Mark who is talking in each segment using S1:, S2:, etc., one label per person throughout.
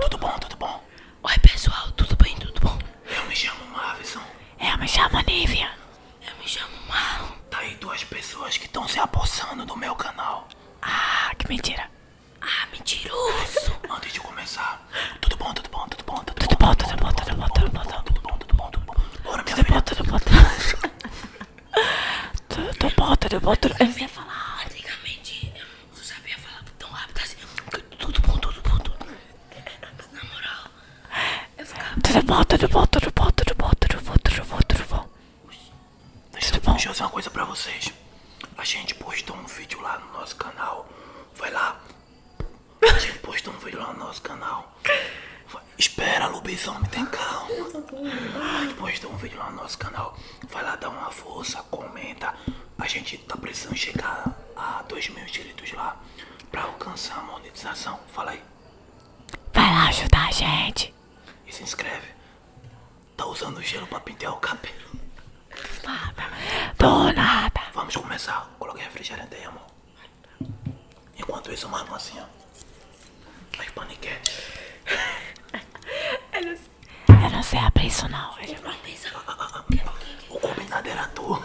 S1: tudo bom, tudo bom. Oi, pessoal, tudo bem? Tudo bom? Eu me chamo Mavison. Eu me chamo Nívia. Eu me chamo Mal. Tá aí duas pessoas que estão se apossando do meu canal. Ah, que mentira. Ah, mentiroso. Antes de começar, tudo bom, tudo bom, tudo bom, tudo bom, tudo bom, tudo bom, tudo bom, tudo bom, tudo bom, tudo bom. Bora, minha filha. Tudo bom, tudo bom, tudo bom. Tudo bom, tudo bom, tudo bom. Eu comecei a falar, antigamente, eu não sabia falar tão rápido assim. Tudo bom, tudo bom, tudo bom. Na moral, eu ficava. Tudo bom, tudo bom, tudo bom, tudo bom, tudo bom, tudo bom, tudo bom. tudo bom tudo bom. deixa eu dizer uma coisa pra vocês. A gente postou um vídeo lá no nosso canal. Vai lá. A gente postou um vídeo lá no nosso canal. Vai. Espera, lobisomem, tem calma. A gente postou um vídeo lá no nosso canal. Vai lá dar uma força, comenta. A gente tá precisando chegar a 2 mil inscritos lá pra alcançar a monetização. Fala aí. Vai lá ajudar a gente. E se inscreve. Tá usando gelo pra pintar o cabelo. Do nada. Do nada. Vamos começar. Coloquei refrigerante aí, amor. Enquanto isso, mano, assim, ó. As paniquetes. Ela Eu não sei abrir isso não. O combinado era tu.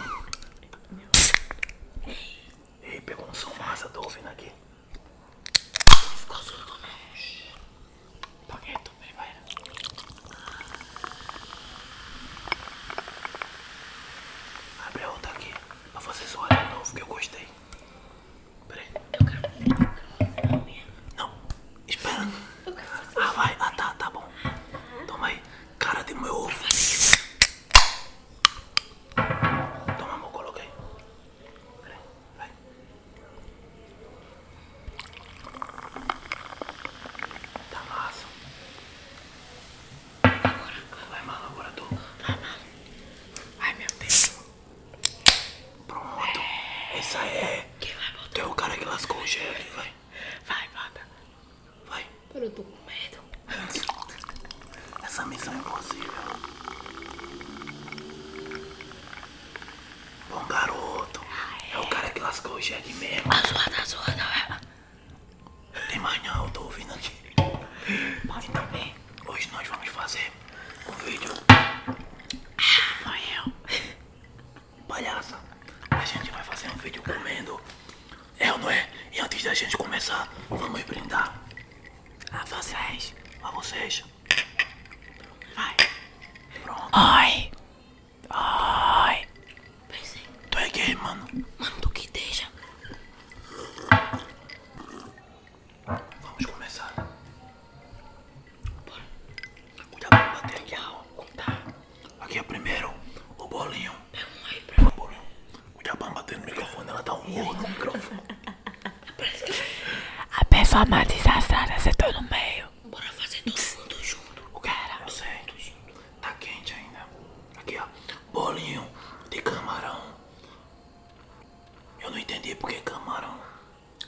S1: Ei, pegou um som massa, tô ouvindo aqui. Ficou surdo não. Paguei tu primeiro. Abre a outra aqui. Pra vocês olharem de novo que eu gostei. Peraí. Eu quero fazer a Não, Espera. Ah, vai. Ah, tá, tá bom. Toma aí. Cara, de meu ovo. Toma, amor, coloquei. Peraí, vai. Tá massa. Agora. Vai, mal agora tu. Vai, tá mal Ai, meu Deus. Pronto. Essa é. Quem vai botar? Tu é o cara que lascou o gelo. Vai, vai, Vai. Pera, eu tô com medo. Essa missão é impossível. Bom garoto. É o cara que lascou o Jack mesmo. A sua, a sua, não é? Tem mais eu tô ouvindo aqui. Posso então, Hoje nós vamos fazer um vídeo. Ah, palhaça, a gente vai fazer um vídeo comendo. É ou não é? E antes da gente começar, vamos brindar. A vocês. A vocês. Vai. Pronto. Ai. Ai. Pensei. É. Tu é gay, mano. Mano, tu que deixa. Vamos começar. Cuidado pra bater aqui, Raul. Tá. Aqui é primeiro o bolinho. Pega um aí pra mim. Cuidado pra bater no microfone, ela dá tá um murro no microfone. A performance desastrada, você tá no meio. Bora fazer tudo junto. O cara. Eu sei. Tá quente ainda. Aqui, ó. Bolinho de camarão. Eu não entendi porque camarão.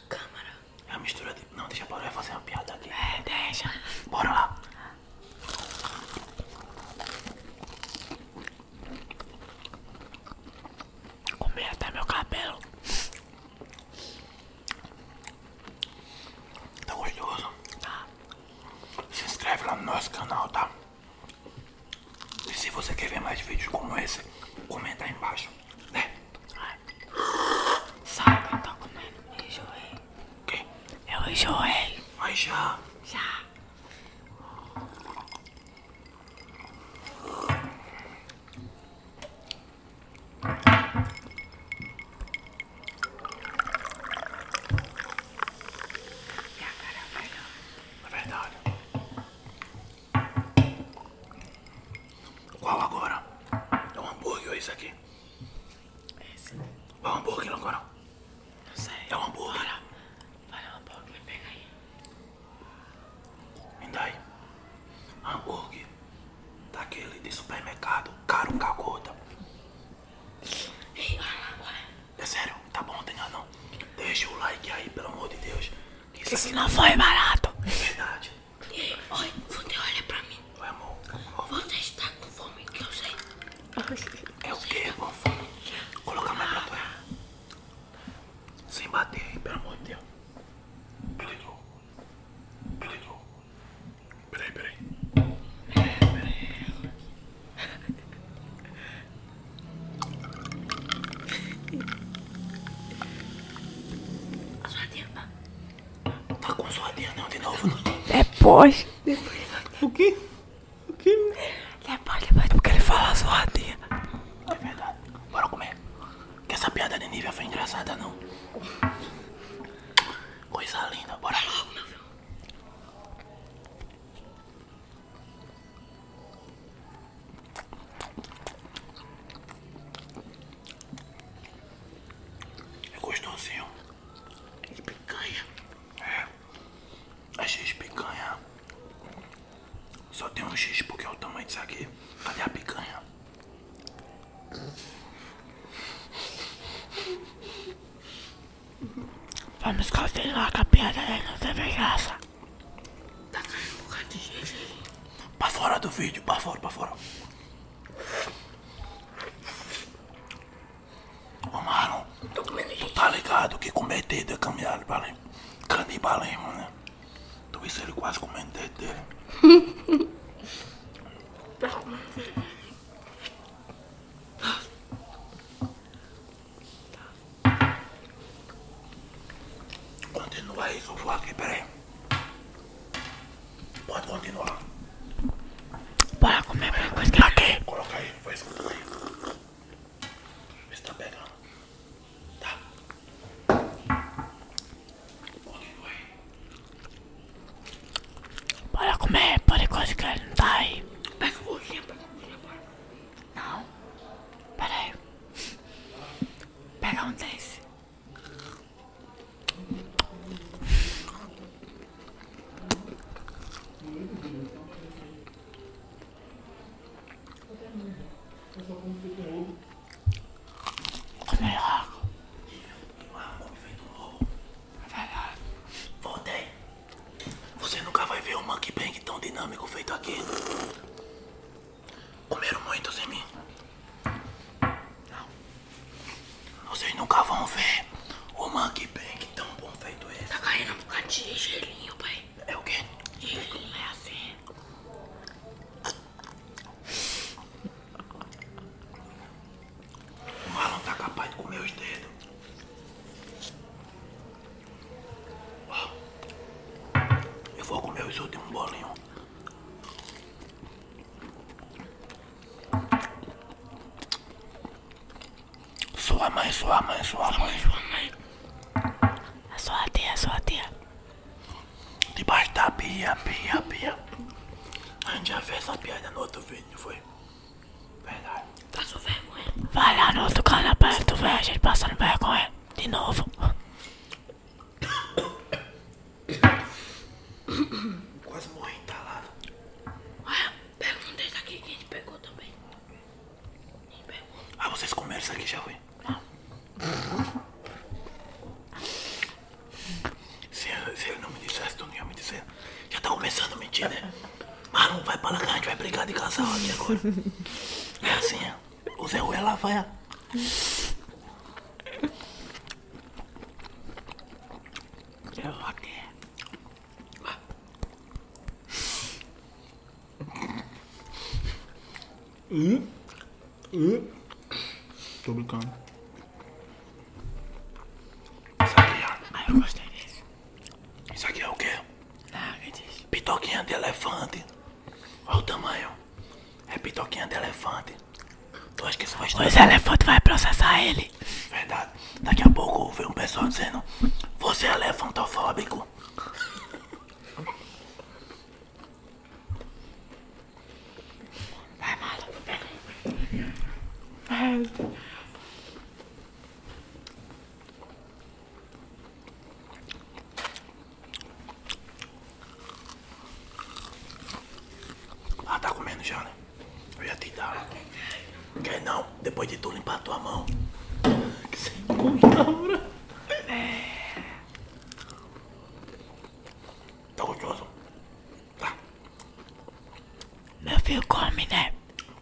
S1: Câmara. É a mistura de. Não, deixa bora, eu fazer uma piada aqui. É, deixa. Bora lá. Comi meu cabelo. Tá gostoso? Tá. Se inscreve lá no nosso canal, tá? E se você quer ver mais vídeos como esse, comenta aí embaixo, né? Sabe quem tá comendo? Enjoei. Que? Eu enjoei. Mas já. Já. Minha cara Vai é melhor. É verdade. Qual agora? É um hambúrguer ou isso aqui? É Esse. Qual hambúrguer agora? Não sei. É um hambúrguer. Bora. Vai um hambúrguer, pega aí. Me dá aí. Hambúrguer daquele de supermercado, caro cagota. Ei, olha, É sério, tá bom, não tem nada não. Deixa o like aí, pelo amor de Deus. Que isso, isso não foi barato. É verdade. Oi, você olha pra mim. Oi, amor. amor. Você está com fome, que eu sei. É o que? Com fome? Coloca mais pra trás. Sem bater aí, pelo amor de Deus. Peraí, peraí. Peraí, peraí. Só adianta tá com soninho não de novo, Depois. Depois. O que? O quê? Depois, depois. É Porque ele fala zoadinha. É verdade. Bora comer. Que essa piada de nível foi engraçada, não. Coisa linda. Bora logo, meu filho. É gostosinho. De picanha. É. É X picanha. Só tem um X porque é o tamanho disso aqui. Cadê a picanha? Vamos continuar com a piada da né? graça. Tá caindo um bocado de gente aí. Pra fora do vídeo, pra fora, pra fora. Ô Marlon, Tô comendo gente. tu tá ligado que cometeu comer dedo é canibalismo, canibalismo, né? Tu isso ele quase comendo dedo dele. tá comendo dedo. Continua isso, que eu vou aqui, peraí. Pode continuar. Bora comer alguma coisa tá que Coloca aí, vai escutando aí. Vê se tá pegando. Tá. Continua aí. Bora comer, pode coisa que não tá aí. Pega a cozinha, pega a cozinha, Não. Pera aí. Pega um desse voltei. Você nunca vai ver um monkey bang tão dinâmico feito aqui. Comeram muito sem mim. Não. Vocês nunca vão ver o Monkey Bank tão bom feito esse. Tá caindo um bocadinho de gelinho, pai. É o quê? Gelinho é assim. O mal não tá capaz de comer os dedos. Uau. Eu vou comer os outros um bolinho sua mãe, sua mãe, sua mãe. Sua mãe. A sua tia, a sua tia. Debaixo da pia, pia, pia. A gente já fez essa piada no outro vídeo, foi? Verdade. Passou vergonha. Vai lá no outro cara perto, tu ver a gente passando vergonha. De novo. Quase morri entalado. Ué, pega um desse aqui que a gente pegou também. Ah, vocês comeram aqui já foi? Se, se ele não me dissesse, tu não ia me dizer. Já tá começando a mentir, né? Maru, vai pra lá que a gente vai brigar de casal aqui agora. É assim, é. O Zé Ruela vai. Eu aqui. É é. Hum? Hum? Tô brincando. Isso aqui, ó. É- ah, eu gostei disso. Isso aqui é o quê? Nada ah, disso. Pitoquinha de elefante. Olha o tamanho. É pitoquinha de elefante. Tu acha que isso vai estourar? Os elefantes vai processar ele. Verdade. Daqui a pouco vem um pessoal dizendo: Você é elefantofóbico. Vai, maluco, pega aí. Ah, tá comendo já, né? Eu ia te dar. Quer não? Depois de tu limpar a tua mão. Que sem palavra. Tá gostoso? Tá. Meu filho come, né?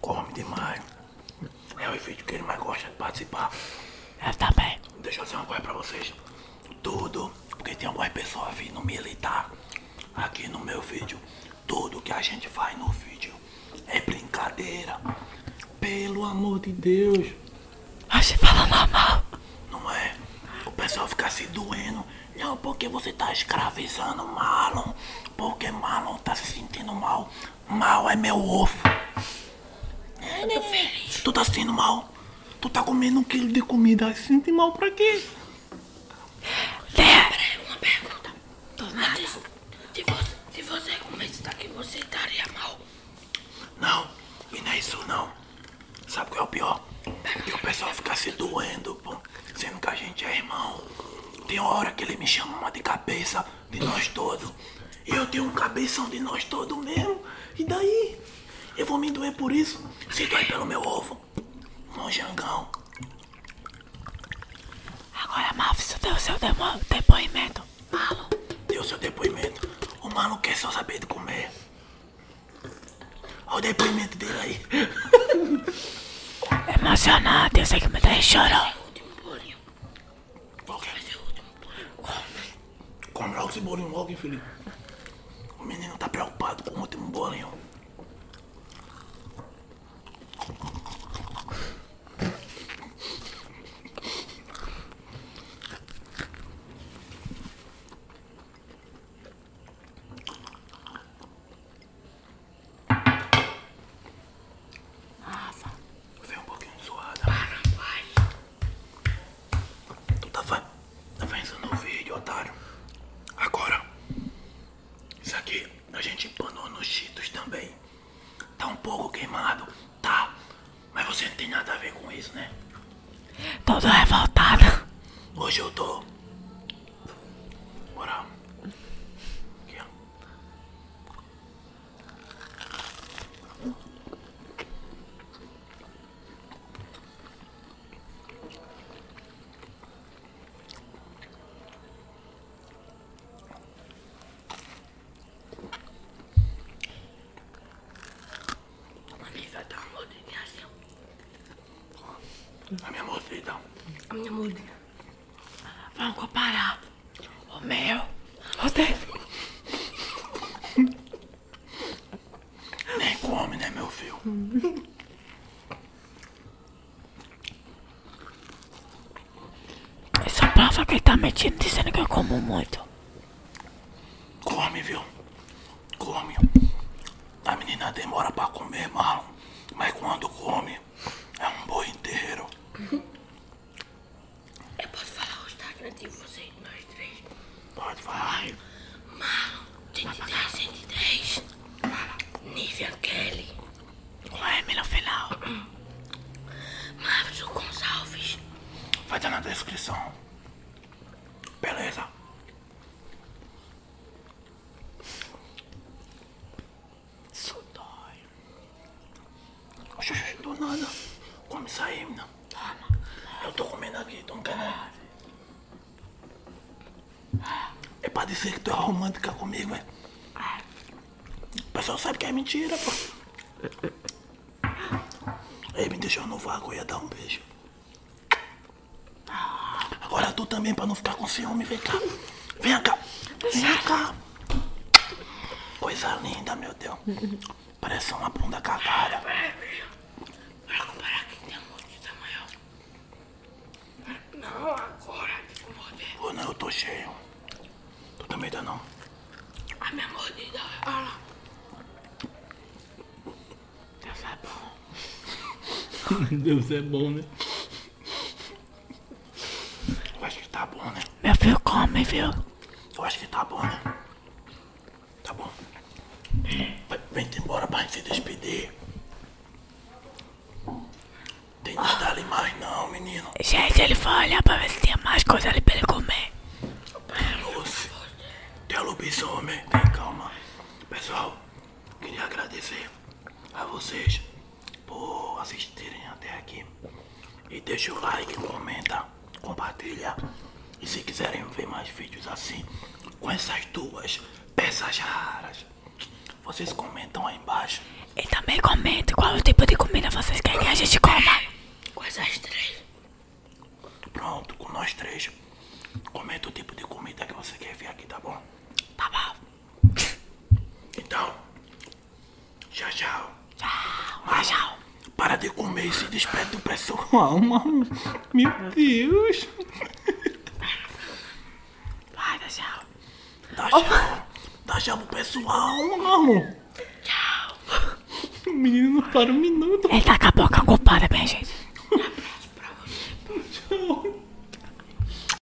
S1: Come demais. É o vídeo que ele mais gosta de participar. Eu ah, também. Tá Deixa eu fazer uma coisa pra vocês. Tudo, porque tem algumas pessoas vindo militar aqui no meu vídeo. Tudo que a gente faz no vídeo é brincadeira. Pelo amor de Deus. a ah, gente fala normal. Não é? O pessoal fica se doendo. Não, porque você tá escravizando Malon. Porque Malon tá se sentindo mal. Mal é meu ovo. Eu tô feliz. Tu tá sendo mal. Tu tá comendo um quilo de comida. Sente mal pra quê? Lembra uma pergunta. Tô nada. Se você, se você comer isso daqui, você estaria mal. Não, e não é isso não. Sabe o que é o pior? Que o pessoal fica se doendo, Sendo que a gente é irmão. Tem hora que ele me chama uma de cabeça de nós todos. Eu tenho um cabeção de nós todos mesmo. E daí? Eu vou me doer por isso? Se doer pelo meu ovo. jangão Agora, Maf, você deu seu depoimento. Malo. Deu seu depoimento. O Malo quer só saber de comer. Olha o depoimento dele aí. emocionado eu sei que me deixa chorar. Qual que vai é? ser é último plano? Come. logo esse bolinho logo, hein, Felipe? O menino tá preocupado com o último bolinho. Rafa. Vem um pouquinho zoada. Para, vai. Tu tá, tá pensando no vídeo, otário. Agora, isso aqui a gente empanou nos cheetos também. Tá um pouco queimado, tá? Mas você não tem nada a ver com isso, né? Todo revoltada. Hoje eu tô. Bora. Aqui, ó. A minha mordida. Então. A minha mordida. Vamos comparar. O meu, O David. Nem come, né, meu filho? Essa prova que ele tá metindo dizendo que eu como muito. Come, viu? Come. A menina demora pra comer, mal, Mas quando come, é um boi inteiro. Eu posso falar o Instagram de vocês, nós três? Pode falar. Marlon, 33, 103. Fala. Nívia Kelly. É, o M no final. Marcos Gonçalves. Vai estar tá na descrição. Beleza. Sudor. Xixi, do nada. Come isso aí, menina. Toma. Eu tô comendo aqui, então quer né? É pra dizer que tu é romântica comigo, é? O pessoal sabe que é mentira, pô. Ele me deixou no vácuo, e ia dar um beijo. Tá. Agora tu também, pra não ficar com ciúme, vem cá. Vem cá. Vem cá. Coisa linda, meu Deus. Parece uma bunda cagada. Peraí, Não, agora. Tem que não, eu tô cheio. Tu também tá não. A minha mordida, olha lá. Deus é bom. Deus é bom, né? Eu acho que tá bom, né? Meu filho come, viu? Eu acho que tá bom, né? Tá bom. vem embora pra se despedir. Tem que dar ali mais não, menino. Gente, ele foi olhar pra ver se tinha mais coisa ali pra ele comer. Lucy, tem lobisomem. Tem calma. Pessoal, queria agradecer a vocês por assistirem até aqui. E deixa o like, comenta, compartilha. E se quiserem ver mais vídeos assim, com essas duas peças raras, vocês comentam aí embaixo. E também comentem qual o tipo de comida vocês querem que a gente coma. Com essas três. Pronto, com nós três. Comenta o tipo de comida que você quer ver aqui, tá bom? Tá bom. Então, Tchau, tchau. Tchau. Mas tchau. Para de comer se desperto do pessoal, mano. Meu Deus. Vai, dá tchau. Dá tchau. Oh. Dá tchau pro pessoal, mano. Tchau. O menino não para um minuto. Ele tá com a boca ocupada, minha gente. Um abraço pra você. Tchau.